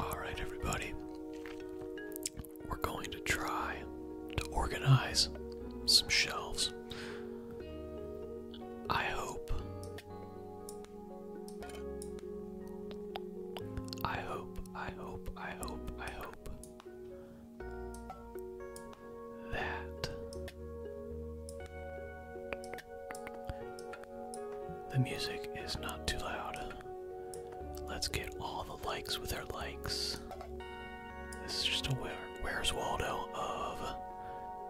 Alright, everybody. We're going to try to organize some shelves. I hope. I hope, I hope, I hope, I hope that the music is not too loud. Let's get all the likes with our likes. This is just a Where's Waldo of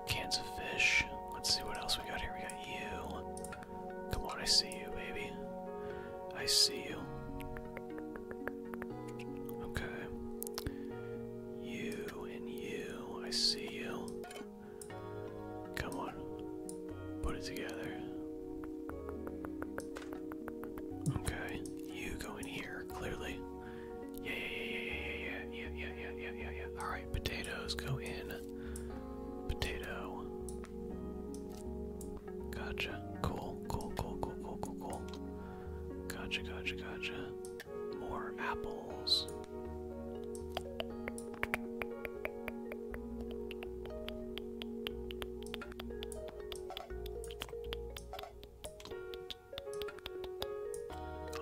cans of fish. Let's see what else we got here. We got you. Come on, I see you, baby. I see you. Okay. You and you. I see you. Come on. Put it together. Okay. You go in here, clearly. Yeah, yeah, yeah, yeah, yeah, yeah, yeah, yeah, yeah, yeah, yeah, Alright, potatoes go in. Potato. Gotcha. Cool, cool, cool, cool, cool, cool, cool. Gotcha, gotcha, gotcha. More apples.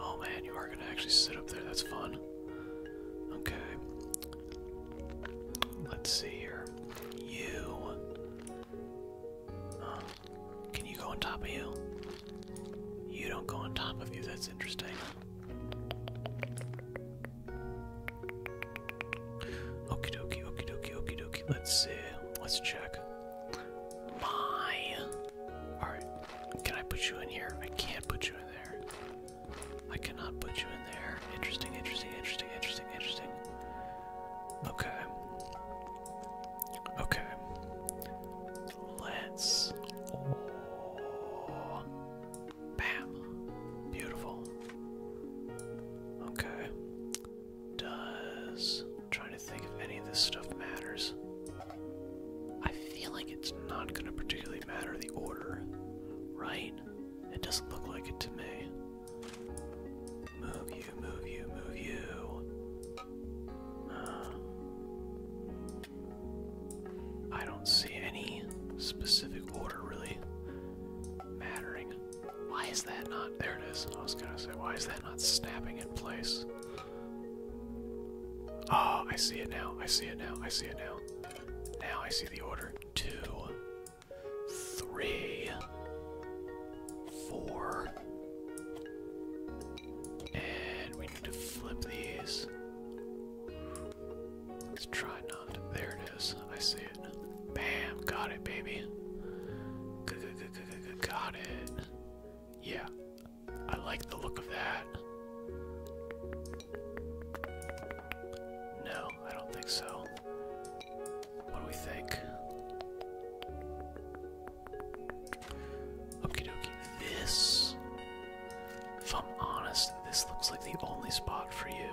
Oh man, you are gonna actually sit up there, that's fun. Okay. Let's see here. You. can you go on top of you? You don't go on top of you, that's interesting. Okie dokie, okie dokie, okie dokie. Let's see. Let's check. My. Alright. Can I put you in here? I can't put you in there. I cannot put you in there. Interesting, interesting, interesting, interesting, interesting. Okay. Okay. Let's. Oh. Bam. Beautiful. Okay. Does trying to think if any of this stuff matters. I feel like it's not gonna particularly matter the order, right? It doesn't look like it to me. Move you, move you, move you. Uh. I don't see any specific order really mattering. Why is that not? There it is. I was gonna say, why is that not snapping in place? Oh, I see it now. I see it now. I see it now. Now I see the order. Two, three, four. And we need to flip these. Let's try not. There it is. I see it. Bam. Got it, baby. got it. Yeah. I like the look of that. No, I don't think so. What do we think? Okie dokie. This if I'm honest, this looks like the only spot for you.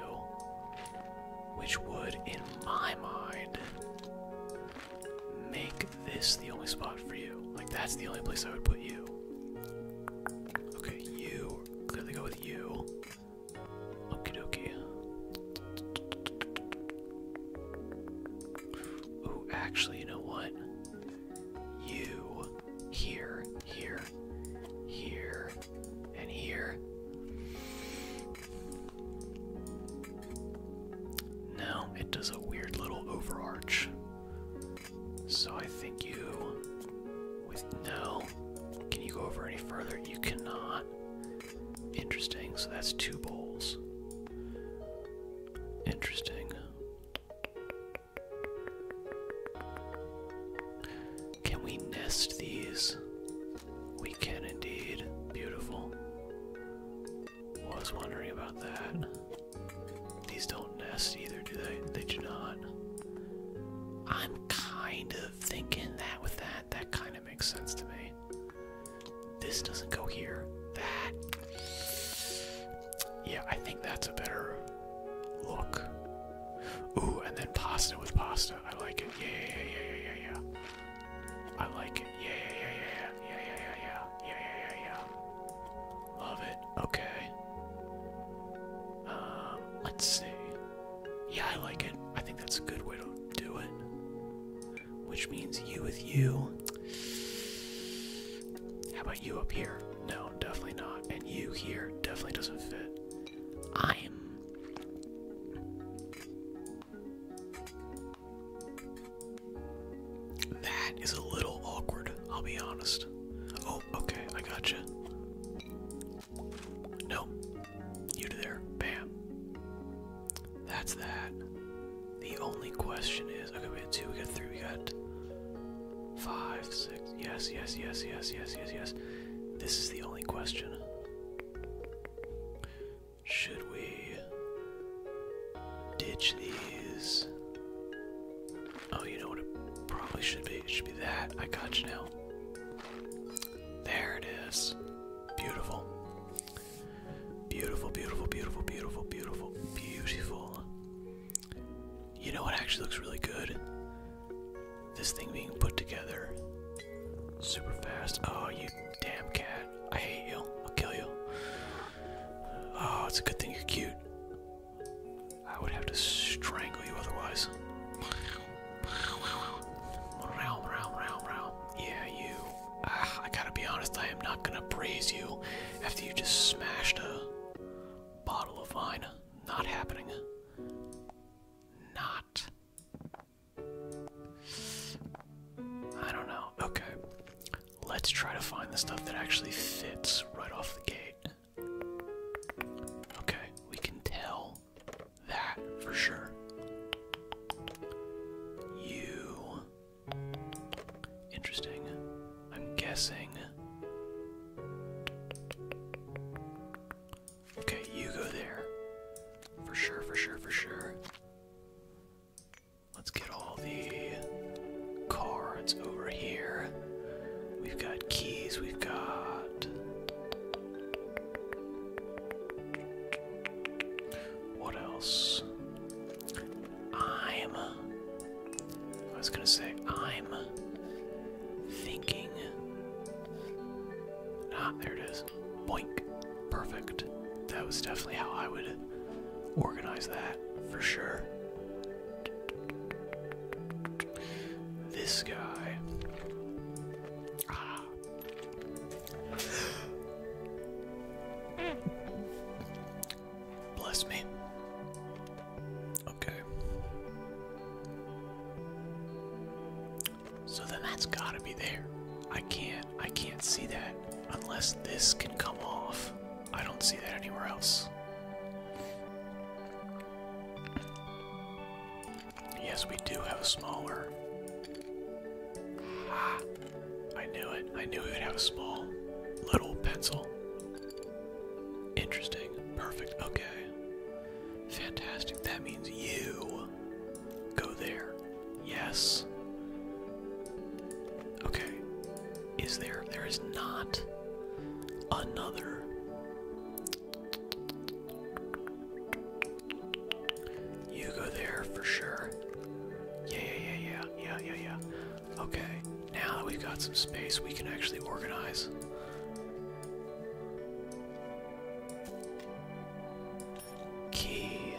Which would, in my mind, make this the only spot for you. Like, that's the only place I would put you. Okay, you. Clearly go with you. Okie dokie. Ooh, actually, you know what? You. Here. Here. Here and here. No, it does a weird little overarch. So I think you. With no. Can you go over any further? You cannot. Interesting. So that's two bowls. Interesting. Can we nest these? We can indeed. Beautiful. Was wondering about that. These don't nest either, do they? They do not. I'm kind of thinking that with that. That kind of makes sense to me. This doesn't go here. That. Yeah, I think that's a better Look. Ooh, and then pasta with pasta. I like it. Yeah, yeah, yeah, yeah, yeah, yeah. I like it. Yeah, yeah, yeah, yeah, yeah, yeah, yeah, yeah, yeah, yeah, yeah. Love it. Okay. Um, let's see. Yeah, I like it. I think that's a good way to do it. Which means you with you. How about you up here? No, definitely not. And you here definitely doesn't fit. I'm that is a little awkward, I'll be honest. Oh, okay, I gotcha. No, you there, bam. That's that. The only question is okay, we got two, we got three, we got five, six. Perfect. Yes, yes, yes, yes, yes, yes, yes. This is the only question. Should we ditch these? Oh, you know what it probably should be? It should be that. I got you now. There it is. Beautiful. Beautiful, beautiful, beautiful, beautiful, beautiful, beautiful. You know what actually looks really good? This thing being put together super fast. Oh, you damn cat. I hate you. I'll kill you. Oh, it's a good thing you're cute. I would have to strangle you otherwise. Yeah, you. Ah, I gotta be honest, I am not gonna praise you after you just smashed a bottle of wine. Not happening. Not. I don't know. Okay. Let's try to find the stuff that actually fits right off the gate. Okay, we can tell that for sure. You. Interesting. I'm guessing. Okay, you go there. For sure, for sure, for sure. Let's get all the cards over here. We've got keys, we've got. What else? I'm. I was gonna say, I'm thinking. Ah, there it is. Boink. Perfect. That was definitely how I would organize that for sure. This guy. Ah. Bless me. Okay. So then that's gotta be there. I can't I can't see that unless this can come off. I don't see that anywhere else. Yes, we do have a smaller. Ah, I knew it. I knew we would have a small little pencil. Interesting. Perfect. Okay. Fantastic. That means you go there. Yes. Okay. Is there? There is not another. You go there for sure. Yeah, yeah, yeah, yeah, yeah, yeah, yeah. Okay. Now that we've got some space, we can actually organize Key,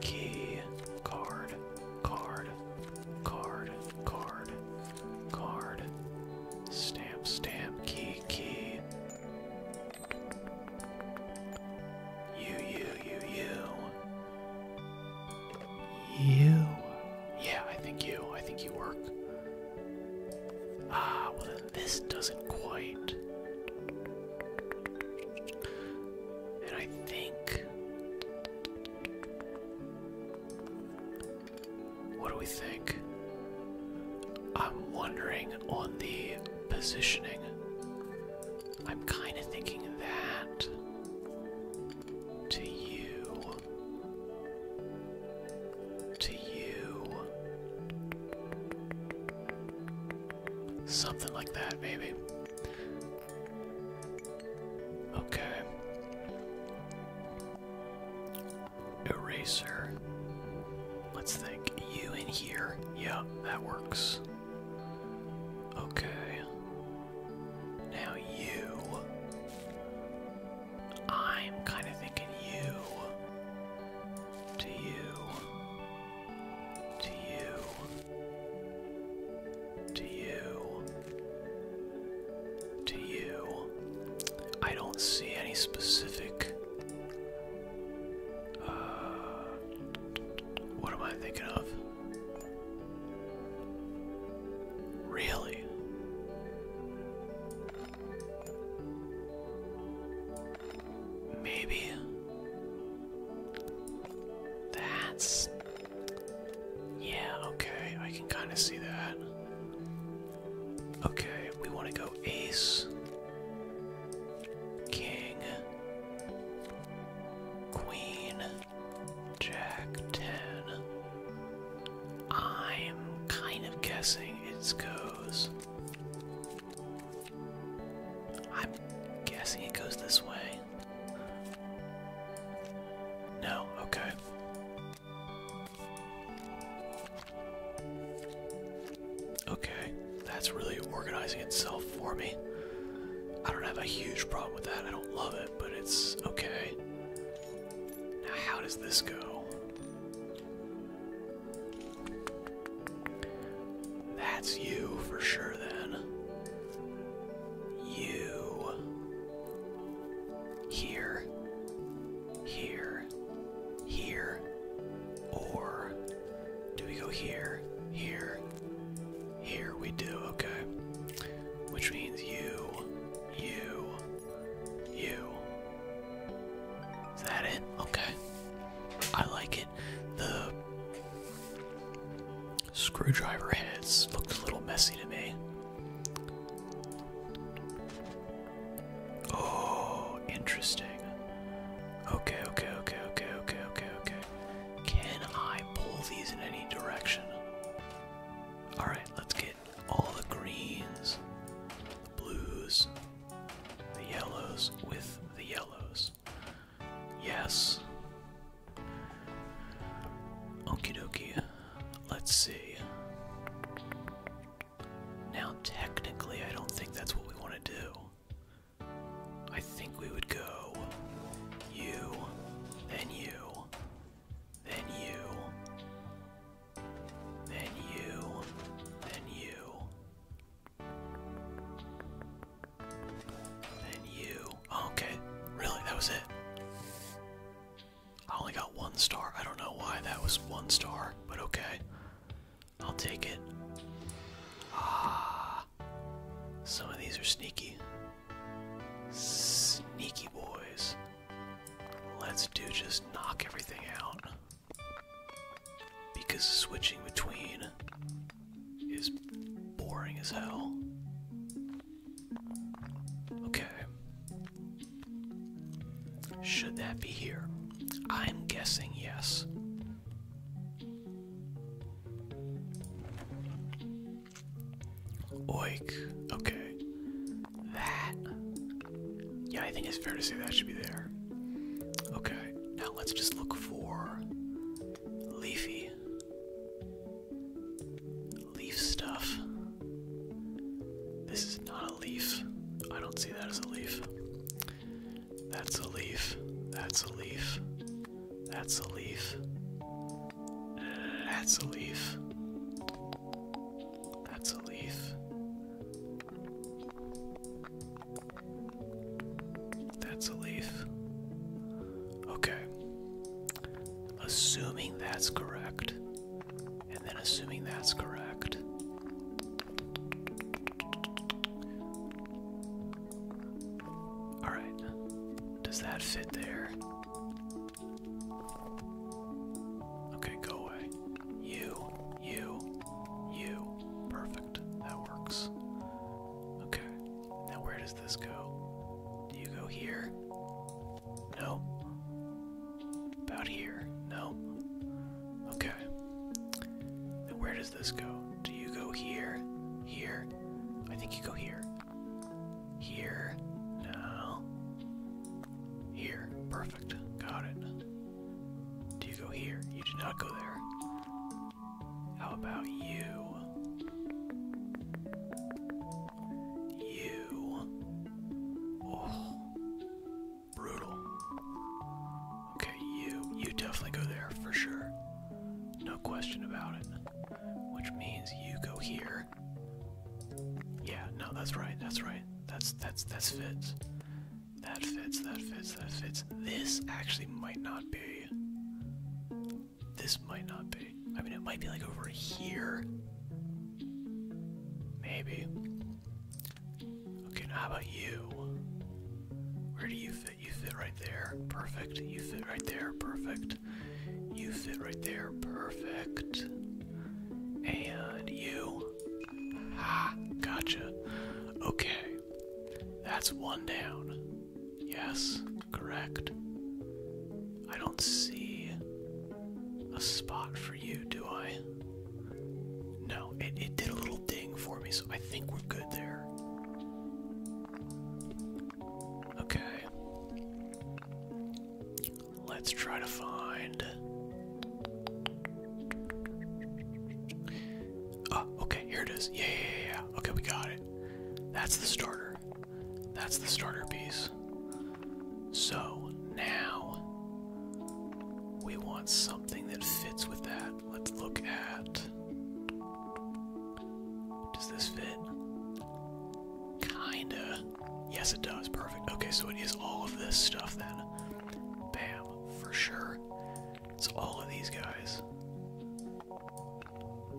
key, card, card, card, card, card, stamp, stamp, key, key. You, you, you, you. You. Yeah, I think you. I think you work. Ah, well then this doesn't quite. And I think. What do we think? I'm wondering on the positioning. I'm kind of thinking that to you to you. Something like that, maybe. Okay. Eraser. Let's think. You in here. Yeah, that works. Okay. Now you. I'm kind of thinking you to you to you to you to you. I don't see any specific. Uh, what am I thinking of? Really? Maybe. That's. Yeah, okay, I can kind of see that. Okay, we want to go ace, king, queen, jack 10. I'm kind of guessing it goes. I'm guessing it goes this way. No, okay. Okay, that's really organizing itself for me. I don't have a huge problem with that. I don't love it, but it's okay. Now, how does this go? That's you for sure, then. You. Here. Here. Here. Or do we go here? Here. Here we do, okay. Which means you you. You. Is that it? Okay. I like it. The screwdriver heads looked a little messy to me. Oh, interesting. Okay, okay, okay, okay, okay, okay, okay. Can I pull these in any direction? Alright, let's get all the greens, the blues, the yellows with the yellows. Yes. Okie dokie. Let's see. Now, technically, I don't think that's what we want to do. I think we would go you, then you, then you, then you, then you, then you. okay, really, that was it. I only got one star. I don't know why that was one star, but okay. I'll take it. Ah, some of these are sneaky. Sneaky boys. Let's do just knock everything out. Because switching between is boring as hell. Okay. Should that be here? I'm guessing yes. Oik. Okay. That. Yeah, I think it's fair to say that should be there. Okay, now let's just look for leafy. Leaf stuff. This is not a leaf. I don't see that as a leaf. That's a leaf. That's a leaf. That's a leaf. That's a leaf. That's a leaf. That's a leaf. Okay. Assuming that's correct. And then assuming that's correct. Alright. Does that fit there? Okay, go away. You, you, you. Perfect. That works. Okay. Now where does this go? Do you go here? No. About here? No. Okay. Now where does this go? Do you go here? Here? I think you go here. Here? No. Here. Perfect. Got it. Do you go here? You do not go there. How about you? You. Oh. Brutal. Okay, you. You definitely go there for sure. No question about it. Which means you go here. Yeah, no, that's right, that's right. That's that's that's fits. That fits, that fits, that fits. This actually might not be. This might not be. I mean it might be like over here. Maybe. Okay, now how about you? Where do you fit? You fit right there. Perfect. You fit right there. Perfect. You fit right there. Perfect. And you. Ha! Gotcha. Okay. That's one down. Yes, correct. I don't see a spot for you, do I? No, it, it did a little ding for me, so I think we're good there. Okay. Let's try to find. Ah, okay, here it is. Yeah, yeah, yeah, Okay, we got it. That's the starter. That's the starter piece. So now we want something that fits with that. Let's look at. Does this fit? Kinda. Yes, it does. Perfect. Okay, so it is all of this stuff then. Bam, for sure. It's all of these guys.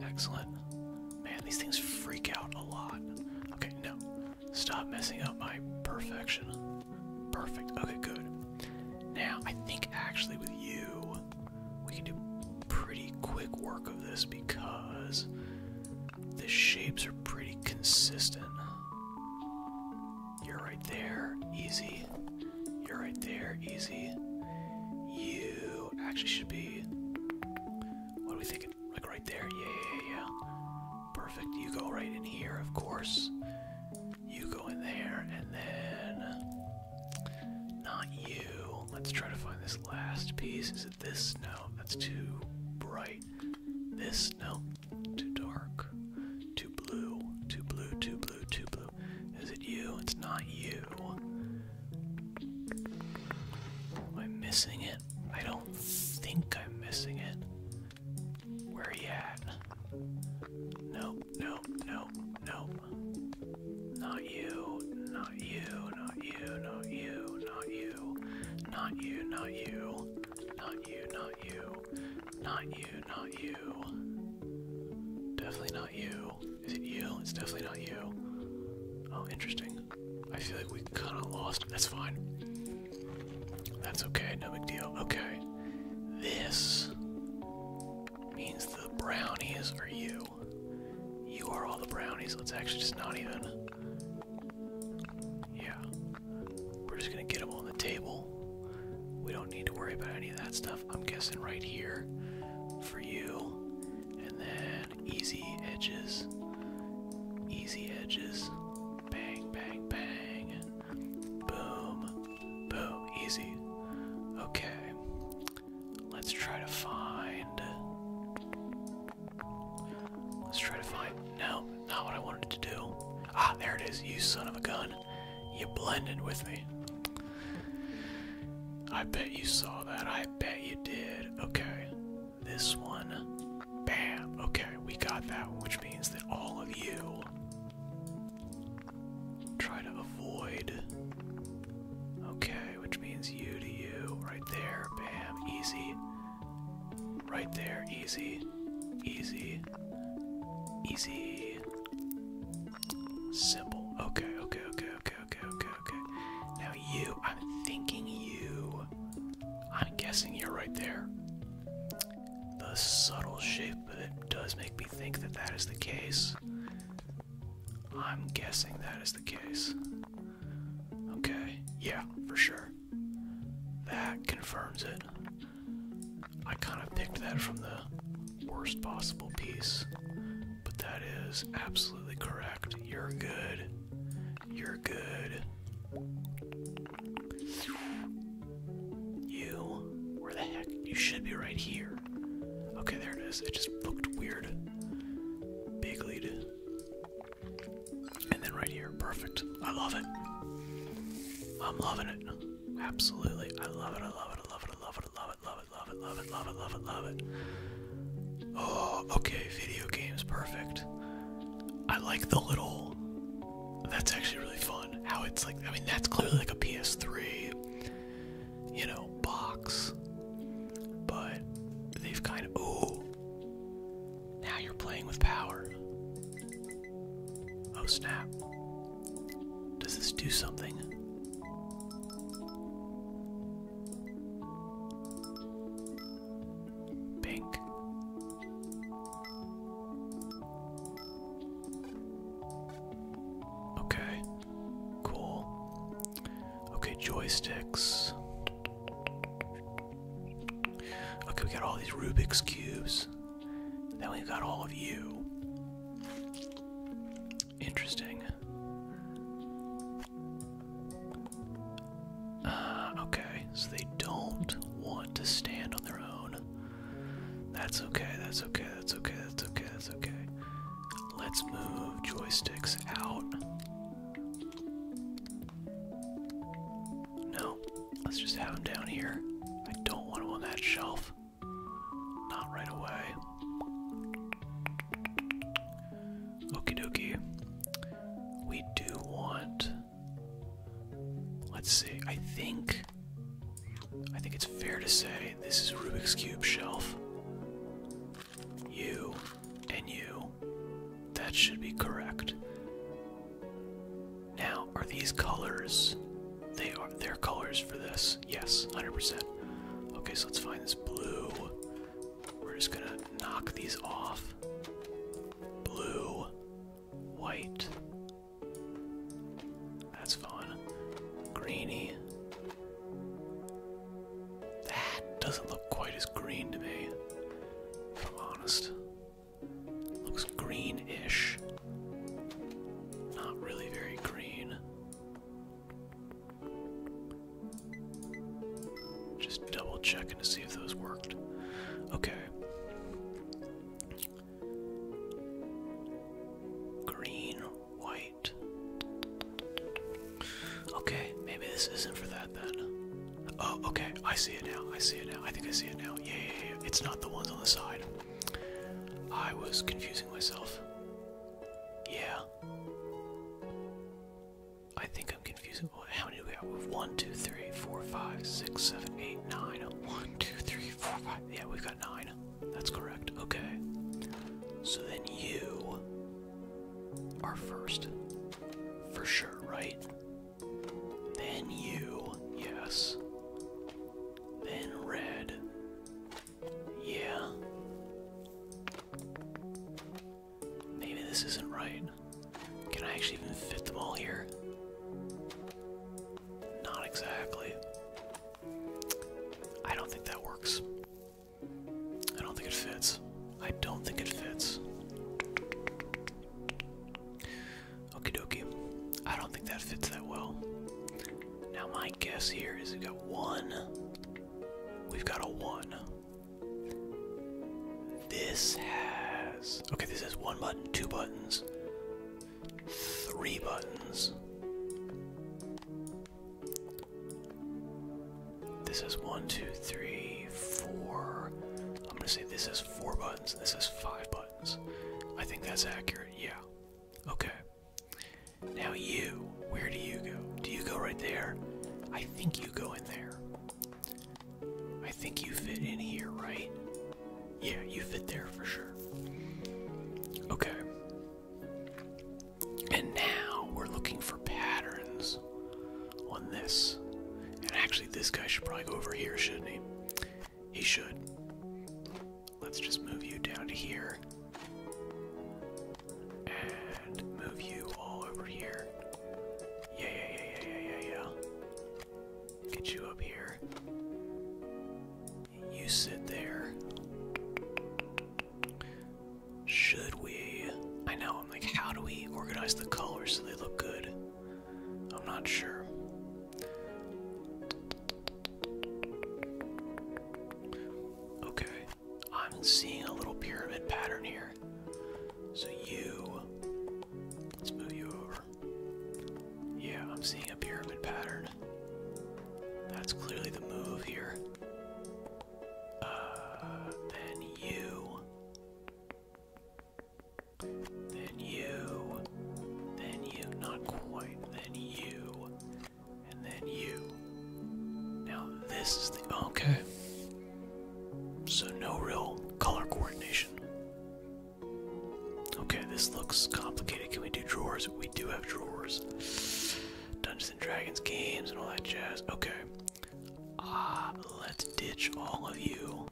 Excellent. Man, these things freak out a lot. Okay, no. Stop messing up my perfection. Perfect. Okay, good. Now, I think actually with you, we can do pretty quick work of this because the shapes are pretty consistent. You're right there, easy. You're right there, easy. You actually should be. What are we thinking? Like right there? Yeah, yeah, yeah. Perfect. You go right in here, of course. You go in there, and then. Not you. Let's try to find this last piece. Is it this? No, that's too bright. This? No, too dark. Too blue. Too blue, too blue, too blue. Is it you? It's not you. Am I missing it? I don't think I'm missing it. Where are you at? No, no, no, no. Not you, not you, not you, not you, not you not you, not you, not you, not you, not you, not you. Definitely not you. Is it you? It's definitely not you. Oh, interesting. I feel like we kind of lost. That's fine. That's okay, no big deal. Okay. This means the brownies are you. You are all the brownies. Let's actually just not even. Yeah. We're just gonna get them on the table. We don't need to worry about any of that stuff. I'm guessing right here for you. And then easy edges. Easy edges. Bang, bang, bang. Boom. Boom. Easy. Okay. Let's try to find. Let's try to find. No, not what I wanted to do. Ah, there it is. You son of a gun. You blended with me. I bet you saw that. I bet you did. Okay. This one. Bam. Okay, we got that, which means that all of you try to avoid. Okay, which means you to you. Right there. Bam. Easy. Right there, easy, easy, easy. Simple. Okay, okay, okay, okay, okay, okay, okay. Now you, I'm thinking you. I'm guessing you're right there. The subtle shape of it does make me think that that is the case. I'm guessing that is the case. Okay, yeah, for sure. That confirms it. I kind of picked that from the worst possible piece, but that is absolutely correct. You're good. You're good. You, where the heck? You should be right here. Okay, there it is. It just looked weird. Big lead. And then right here, perfect. I love it. I'm loving it. Absolutely. I love it. I love it. I love it. I love it. I love it. Love it. Love it. Love it. Love it. Love it. Love it. Oh, okay. Video games. Perfect. I like the little. That's actually really fun. How it's like. I mean, that's clearly like a PS3, you know, box. But they've kind of. Oh. Now you're playing with power. Oh snap. Does this do something? Pink. Okay. Cool. Okay, joysticks. Okay, we got all these Rubik's Cubes. Then we've got all of you. Interesting. Uh, okay, so they don't want to stand on their own. That's okay, that's okay, that's okay, that's okay, that's okay. Let's move joysticks out. No, let's just have him down here. I don't want him on that shelf. Not right away. Okey dokey. We do want. Let's see. I think. I think it's fair to say this is Rubik's Cube shelf you, and you. That should be correct. Now, are these colors? They are their colors for this. Yes, 100%. Okay, so let's find this blue. We're just gonna knock these off. Blue, white. That's fun. Greeny, that doesn't look quite as green to me, if I'm honest. Looks green-ish. Not really very green. Just double checking to see if those worked. Okay. Green, white. Okay, maybe this isn't for that then. Oh, okay, I see it now. I see it now. I think I see it now. Yeah, yeah, yeah. It's not the ones on the side. I was confusing myself. Yeah. I think I'm confusing. How many do we have? We have 1, 2, 3, 4, 5, 6, 7, 8, 9. 1, 2, 3, 4, 5. Yeah, we've got 9. That's correct. Okay. So then you are first. For sure, right? Then you, yes. Then red. Yeah. Maybe this isn't right. Can I actually even fit them all here? Not exactly. I don't think that works. I don't think it fits. I don't think it fits. Okie dokie. I don't think that fits that well. Now my guess here is we've got one. We've got a one. This has okay, this has one button, two buttons, three buttons. This is one, two, three, four. I'm gonna say this is four buttons, this is five buttons. I think that's accurate, yeah. Okay. Now you, where do you go? Do you go right there? I think you go in there. I think you fit in here, right? Yeah, you fit there for sure. Okay. And now we're looking for patterns on this. And actually, this guy should probably go over here, shouldn't he? He should. Let's just move you down to here. And move you all over here. Yeah, yeah, yeah, yeah, yeah, yeah, yeah. Get you up here. You sit there. Should we? I know, I'm like, how do we organize the colors so they look good? I'm not sure. Okay, I'm seeing a little pyramid pattern here. So you, let's move you over. Yeah, I'm seeing a pyramid pattern. That's clearly the move here. Uh, you, then you. Then you. Not quite. Then you. And then you. Now this is the. Okay. So no real color coordination. Okay, this looks complicated. Can we do drawers? We do have drawers. Dungeons and Dragons games and all that jazz. Okay, Ah, let's ditch all of you.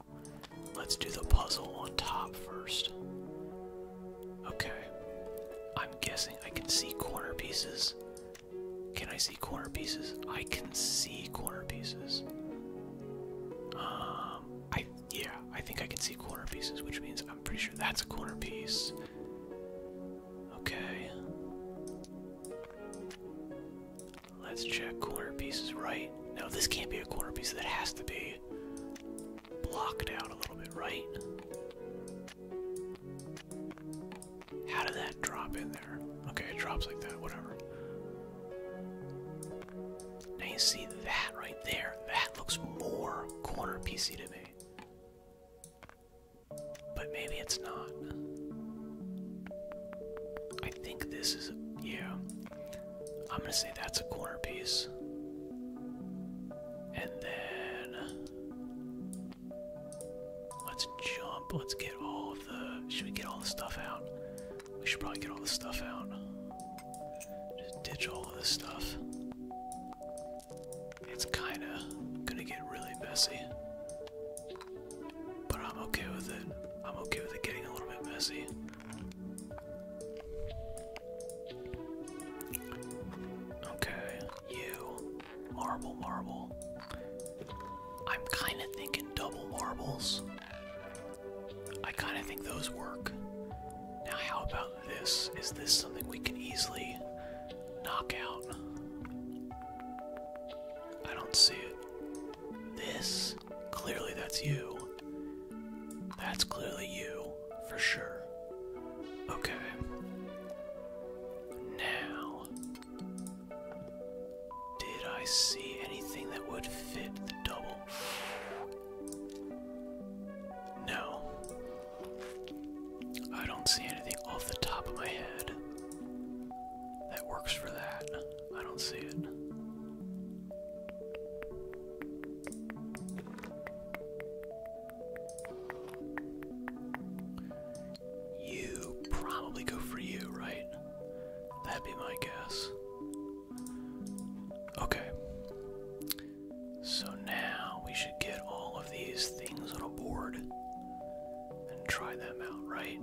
Let's do the puzzle on top first. Okay. I'm guessing I can see corner pieces. Can I see corner pieces? I can see corner pieces. Um, I yeah, I think I can see corner pieces, which means I'm pretty sure that's a corner piece. Okay. Let's check corner pieces right. now, this can't be a corner piece. That has to be blocked out a little bit, right? How did that drop in there? Okay, it drops like that, whatever. Now you see that right there. That looks more corner piece to me. But maybe it's not. I think this is, a, yeah. I'm gonna say that's a corner piece. And then let's jump. Let's get all of the. Should we get all the stuff out? We should probably get all the stuff out. Just ditch all of this stuff. It's kinda gonna get really messy. But I'm okay with it. I'm okay with it getting a little bit messy. Okay, you. Marble, marble. I'm kind of thinking double marbles. I kind of think those work. Now, how about this? Is this something we can easily knock out? I don't see it. This, clearly that's you. That's clearly you, for sure. Okay. Now, did I see anything that would fit the double? No. I don't see anything off the top of my head that works for that. I don't see it. You probably go for you, right? That'd be my guess. Okay. So now we should get all of these things on board and try them out, right?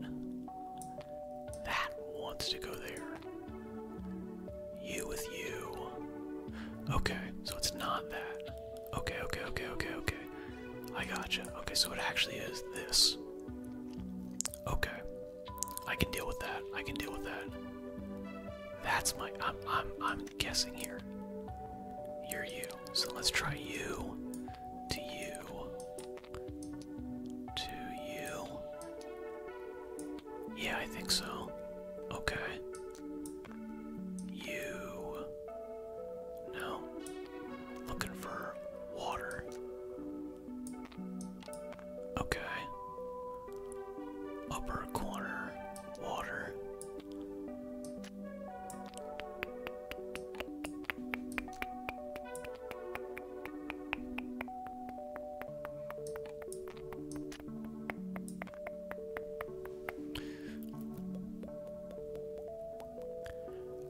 That wants to go there. You with you. Okay, so it's not that. Okay, okay, okay, okay, okay. I gotcha. Okay, so it actually is this. Okay. I can deal with that. I can deal with that. That's my I'm I'm I'm guessing here. You're you. So let's try you to you to you. Yeah, I think so. Okay. You. No. Looking for water. Okay. Upper corner, water.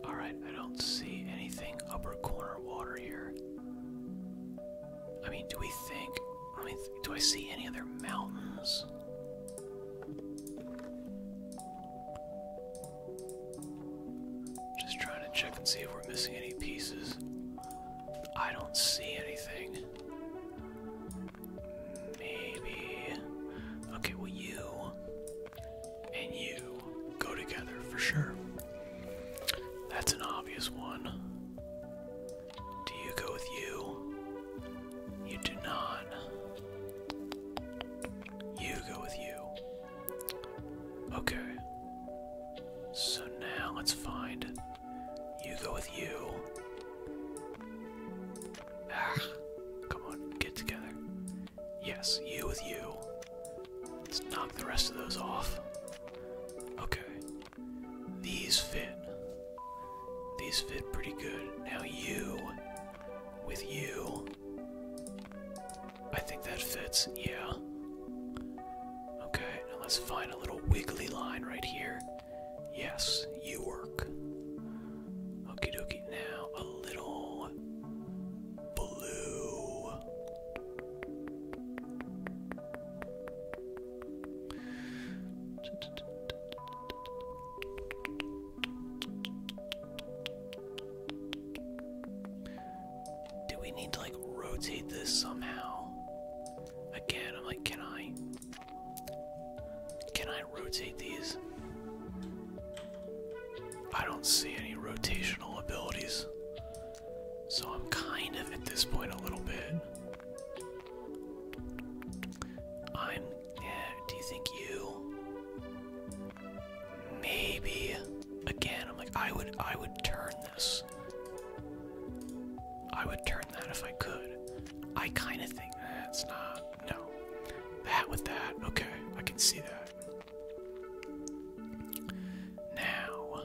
All right, I don't see anything upper corner water here. I mean, do we think? I mean, do I see any other mountains? Just trying to check and see if we're missing any pieces. I don't see anything. Maybe. Okay, well, you and you go together for sure. That's an obvious one. Do you go with you? You do not. You go with you. Okay. So now let's find. You go with you. Ah, come on, get together. Yes, you with you. Let's knock the rest of those off. Okay. These fit. These fit pretty good. Now you with you. I think that fits, yeah. Okay, now let's find a little wiggly line right here. Yes, you work. Okie dokie, now a little blue. Do we need to like rotate this somehow? Again, I'm like, can I? Can I rotate these? I don't see any rotational abilities. So I'm kind of at this point a little bit. I'm. do you think you? Maybe again, I'm like I would I would turn this. I would turn that if I could. I kinda think that's not no. That with that, okay, I can see that. Now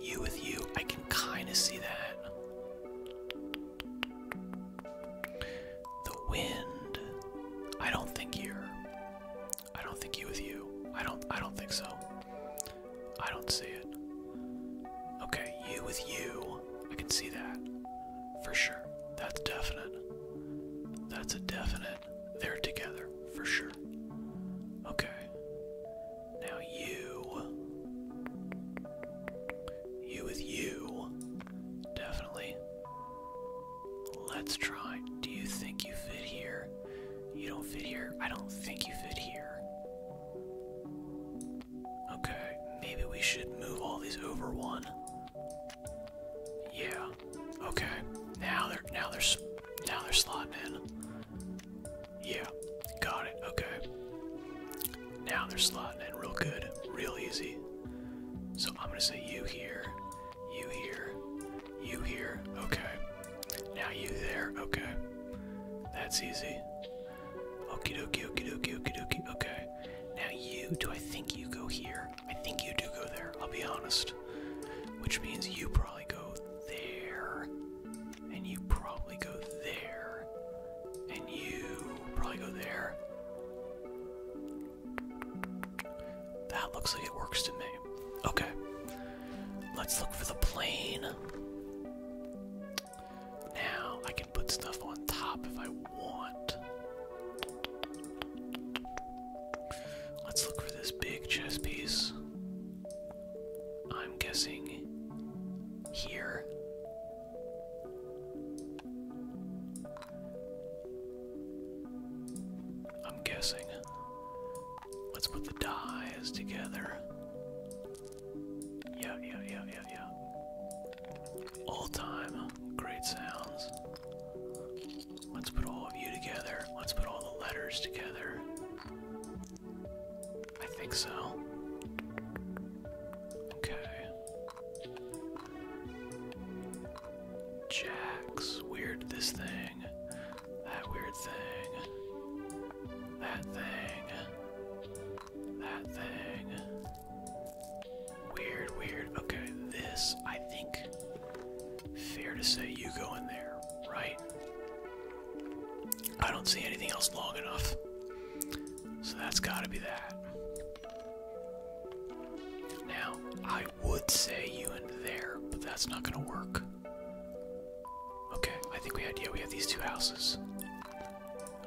you with you, I can kinda see that. The wind. I don't think you're. I don't think you with you. I don't. I don't think so. I don't see it. Okay, you with you. I can see that for sure. That's definite. That's a definite. They're together for sure. Okay. Now you. You with you. Definitely. Let's try. Do you think you fit here? You don't fit here. I don't think you fit here. Okay, maybe we should move all these over one. Yeah. Okay. Now they're now they're now they're slotting in. Yeah. Got it. Okay. Now they're slotting in real good, real easy. So I'm gonna say you here, you here, you here, okay. Now you there, okay. That's easy. Okie dokie, okie dokie, okie dokie, okay. Now you, do I think you go here? I think you do go there, I'll be honest. Which means you probably go there, and you probably go there, and you probably go there. That looks like it works to me. Okay. Let's look for the plane. Now I can put stuff on top if I want. Let's look for this big chess piece. I'm guessing here. I'm guessing. Let's put the dies together. Yeah, yeah, yeah, yeah, yeah. All time great sounds. Let's put all of you together. Let's put all the letters together. I think so. Okay. Jacks. Weird this thing. That weird thing. That thing. That thing. Weird, weird. Okay, this, I think, fair to say you go in there, right? I don't see anything else long enough. So that's gotta be that. Now, I would say you and there, but that's not gonna work. Okay, I think we had, yeah, we have these two houses.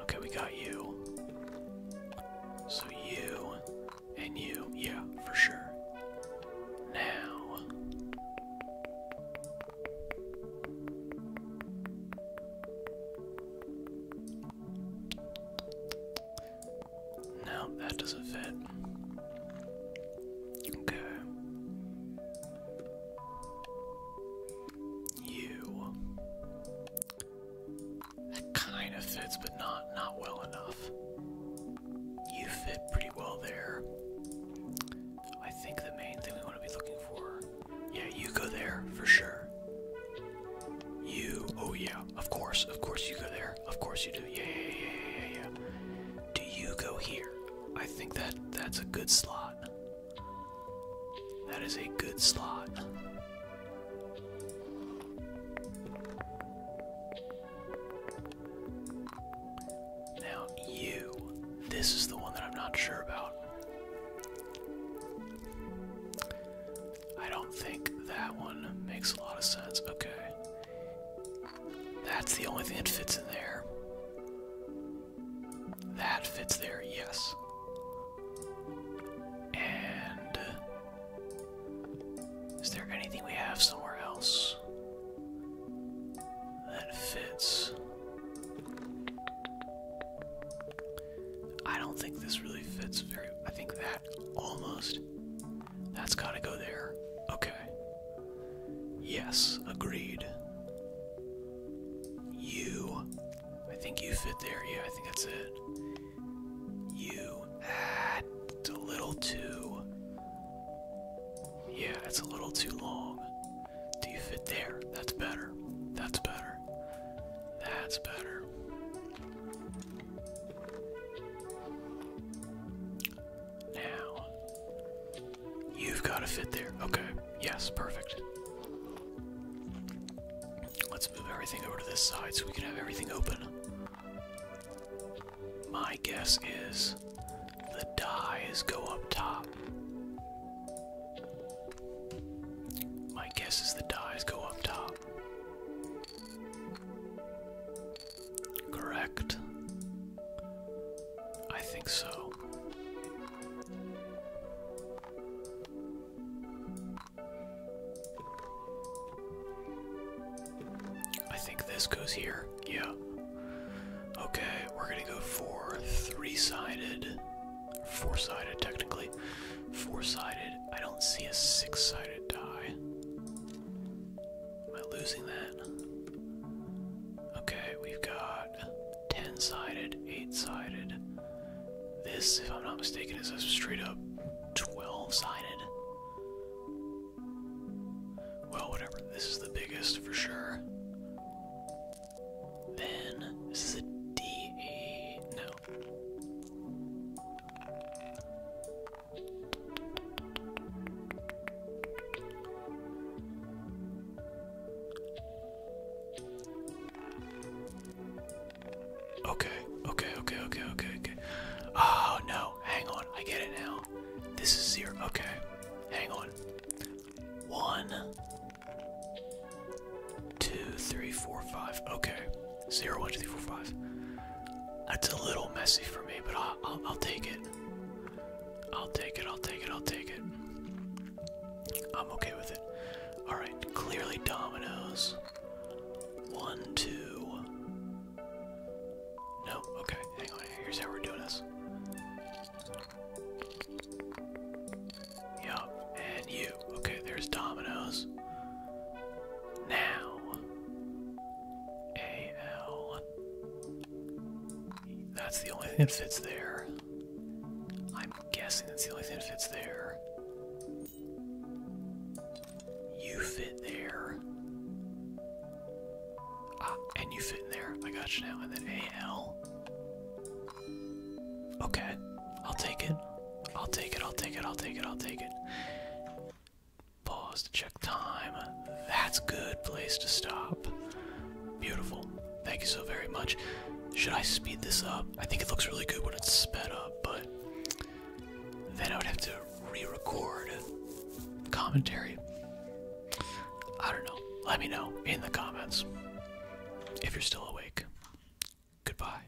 Okay, we got you. So you, and you, yeah, for sure. Now. No, that doesn't fit. Okay. You. That kind of fits, but not not well enough. You fit pretty well there. I think the main thing we want to be looking for. Yeah, you go there for sure. You, oh yeah, of course, of course you go there, of course you do, yeah, yeah, yeah, yeah, yeah. Do you go here? I think that that's a good slot. That is a good slot. Now you, this is the one that I'm not sure about. I don't think that one makes a lot of sense. Okay. That's the only thing that fits in there. That fits there, yes. And. Uh, is there anything we have somewhere else that fits? I don't think this really fits very. I think that almost. That's gotta go there. Okay. Yes, agreed. You. I think you fit there. Yeah, I think that's it. You. Ah, a little too. Yeah, it's a little too long. Do you fit there? That's better. That's better. That's better. Now, you've got to fit there. Okay, yes, perfect. Let's move everything over to this side so we can have everything open. My guess is the dies go up top. My guess is the dies go up top. Correct. I think so. I think this goes here. Yeah. Okay, we're gonna go for three sided, four sided technically. Four sided. I don't see a six sided die. Am I losing that? Okay, we've got ten sided, eight sided. This, if I'm not mistaken, is a straight up 12 sided. Well, whatever. This is the biggest for sure. Then, this is a No, Okay, okay, okay, okay, okay, okay. Oh no, hang on, I get it now. This is zero. Okay, hang on. One, two, three, four, five. Okay, zero, one, two, three, four, five. That's a little messy for me, but I'll, take it. I'll take it. I'll take it. I'll take it. I'm okay with it. All right, clearly dominoes. One, two. No, okay. Hang on. Here's how we're doing this. Yup, and you. Okay, there's Domino's. Now, AL. That's the only thing that fits there. I'm guessing that's the only thing that fits there. You fit there. Ah, and you fit in there. I got you now. And then AL. Okay, I'll take it. I'll take it, I'll take it, I'll take it, I'll take it. Pause to check time. That's good place to stop. Beautiful. Thank you so very much. Should I speed this up? I think it looks really good when it's sped up, but then I would have to re-record commentary. I don't know. Let me know in the comments if you're still awake. Goodbye.